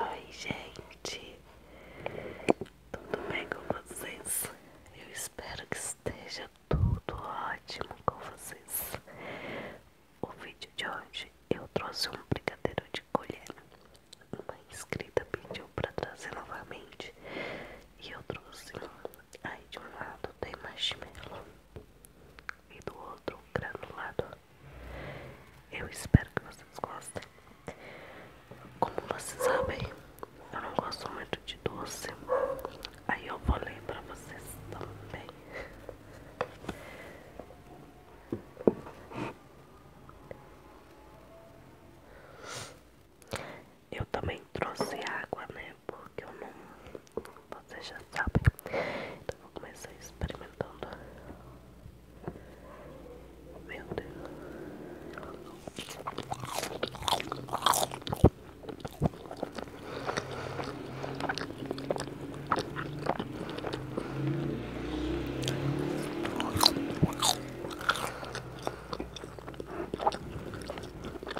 Oi, gente, tudo bem com vocês? Eu espero que esteja tudo ótimo com vocês. O vídeo de hoje eu trouxe um brigadeiro de colher. Uma inscrita pediu para trazer novamente e eu trouxe Aí de um lado tem marshmallow e do outro granulado. Eu espero que vocês gostem. Como vocês sabem, eu não gosto muito de doce. Aí eu vou ler pra vocês também. Eu também trouxe água, né? porque eu não. Você já sabe. Então vou começar experimentando. Meu Deus.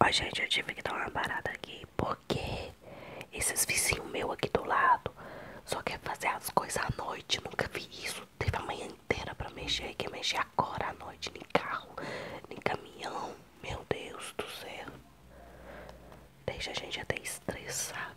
Oi gente, eu tive que dar uma parada aqui porque esses vizinhos meu aqui do lado só quer fazer as coisas à noite. Nunca vi isso. Teve a manhã inteira pra mexer. Quer mexer agora à noite. Nem carro, nem caminhão. Meu Deus do céu. Deixa a gente até estressado.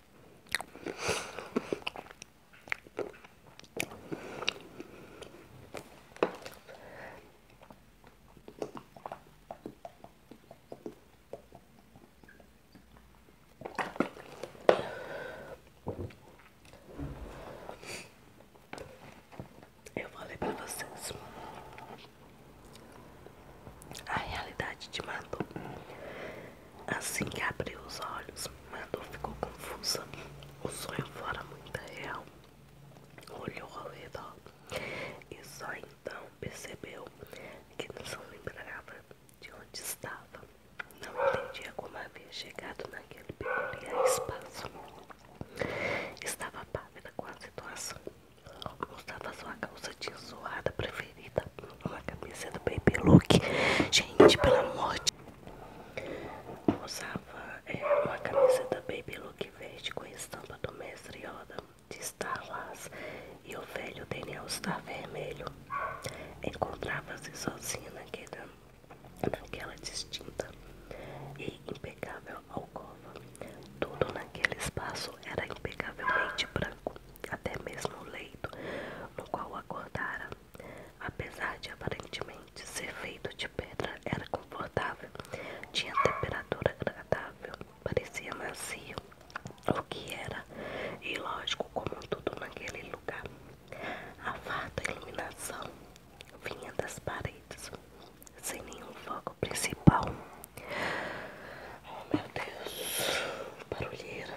Eu falei para vocês a realidade te matou Assim que abriu os olhos, Madu ficou confusa. O sonho fora muito real. Olhou ao redor e só então percebeu que não se lembrava de onde estava. Não entendia como havia chegado naquele peculiar espaço. Estava pálida com a situação. Usava sua calça de zoada preferida uma camisa cabeça do Baby Look. Gente, pela morte. Usava é, uma camisa da Baby Look verde com estampa do Mestre Yoda de Star Wars e o velho Daniel Star Vermelho. Encontrava-se assim, sozinho naquela distinta e impecável alcova. Tudo naquele espaço era impecavelmente branco até mesmo o leito no qual acordara, apesar de aparentemente ser feito de pedra, era confortável, tinha temperatura agradável, parecia macio, o que era ilógico como tudo naquele lugar. A farta iluminação vinha das paredes, sem nenhum foco principal. Oh meu Deus, barulheira.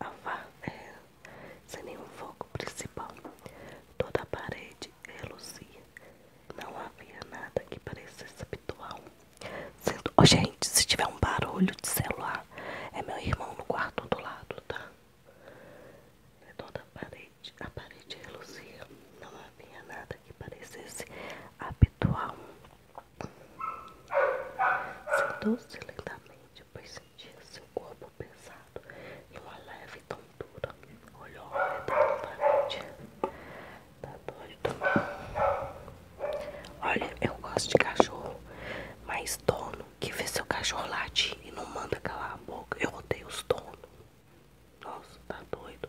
A vá é sem nenhum fogo principal. Toda a parede reluzia. É Não havia nada que parecesse habitual. Sendo... Oh, gente, se tiver um barulho de celular, é meu irmão no quarto do lado, tá? É toda parede. A parede reluzia. Não havia nada que parecesse habitual. Sentou-se lentamente, pois sentia seu corpo pesado e uma leve tontura. Olhou ao redor novamente. Tá doido? Olha, eu gosto de cachorro, mas dono que vê seu cachorro latir e não manda calar a boca. Eu odeio os donos. Nossa, tá doido.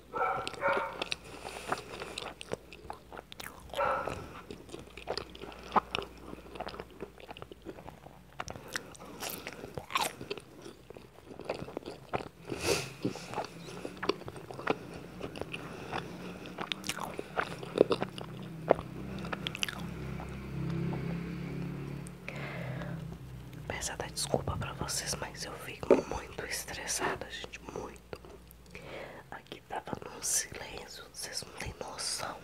Peço até desculpa para vocês, mas eu fico muito muito estressada, gente, muito. Aqui tava num silêncio, vocês não têm noção.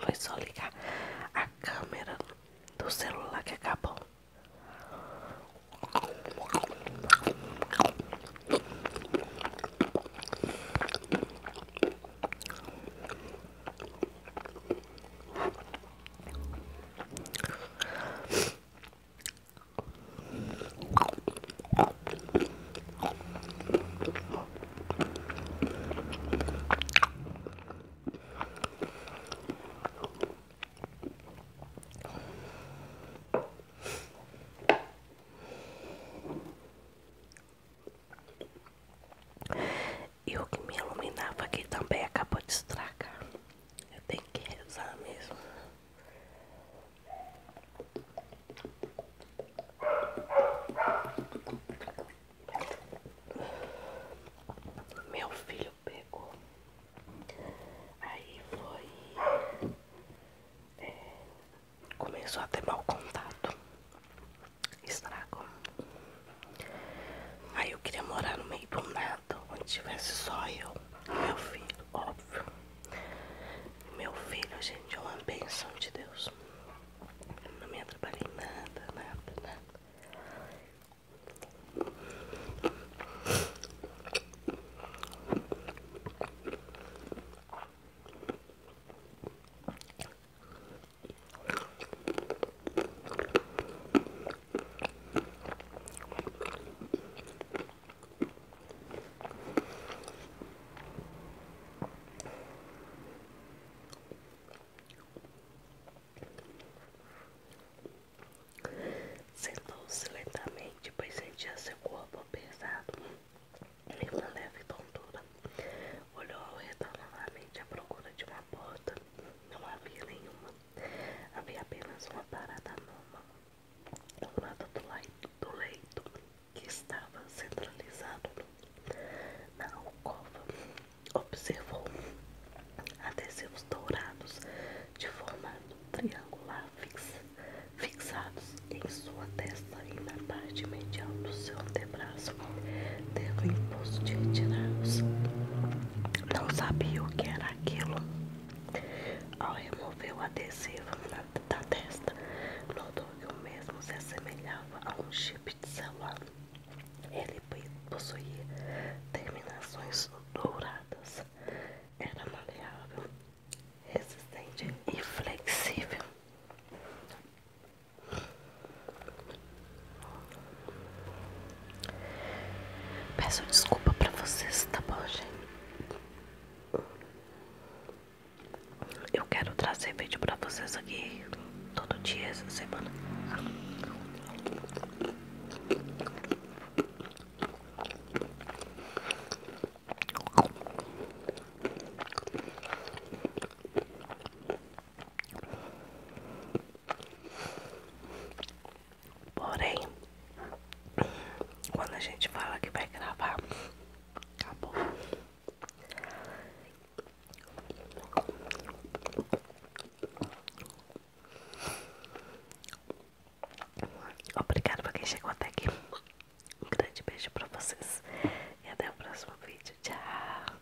Foi só ligar a câmera do celular que acabou. E o que me iluminava aqui também acabou de estragar. Eu tenho que rezar mesmo. Meu filho pegou. Aí foi. É, começou a ter mau contato. estrago Aí eu queria morar no meio do nada, onde tivesse só eu e meu filho, óbvio. Meu filho, gente, é uma bênção de Deus. Eu não me atrapalhei nada, nada, nada. Sentou-se lentamente, para sentir seu corpo pesado e com leve tontura. Olhou ao redor novamente à procura de uma porta. Não havia nenhuma. Havia apenas uma parada numa do lado do leito que estava centralizado na alcova. Observou adesivos dourados de formato triangular fixados em sua testa e na parte medial do seu antebraço. Teve o impulso de retirá-los, não sabia o que era aquilo. Ao remover o adesivo da testa, notou que o mesmo se assemelhava a um chip de celular. Ele possuía terminações douradas, era maleável, resistente e flexível. Peço desculpa pra vocês, tá bom, gente? Eu quero trazer vídeo pra vocês aqui todo dia essa semana. Porém, quando a gente fala que vai gravar, acabou. Obrigada pra quem chegou até aqui. Um grande beijo pra vocês. E até o próximo vídeo. Tchau.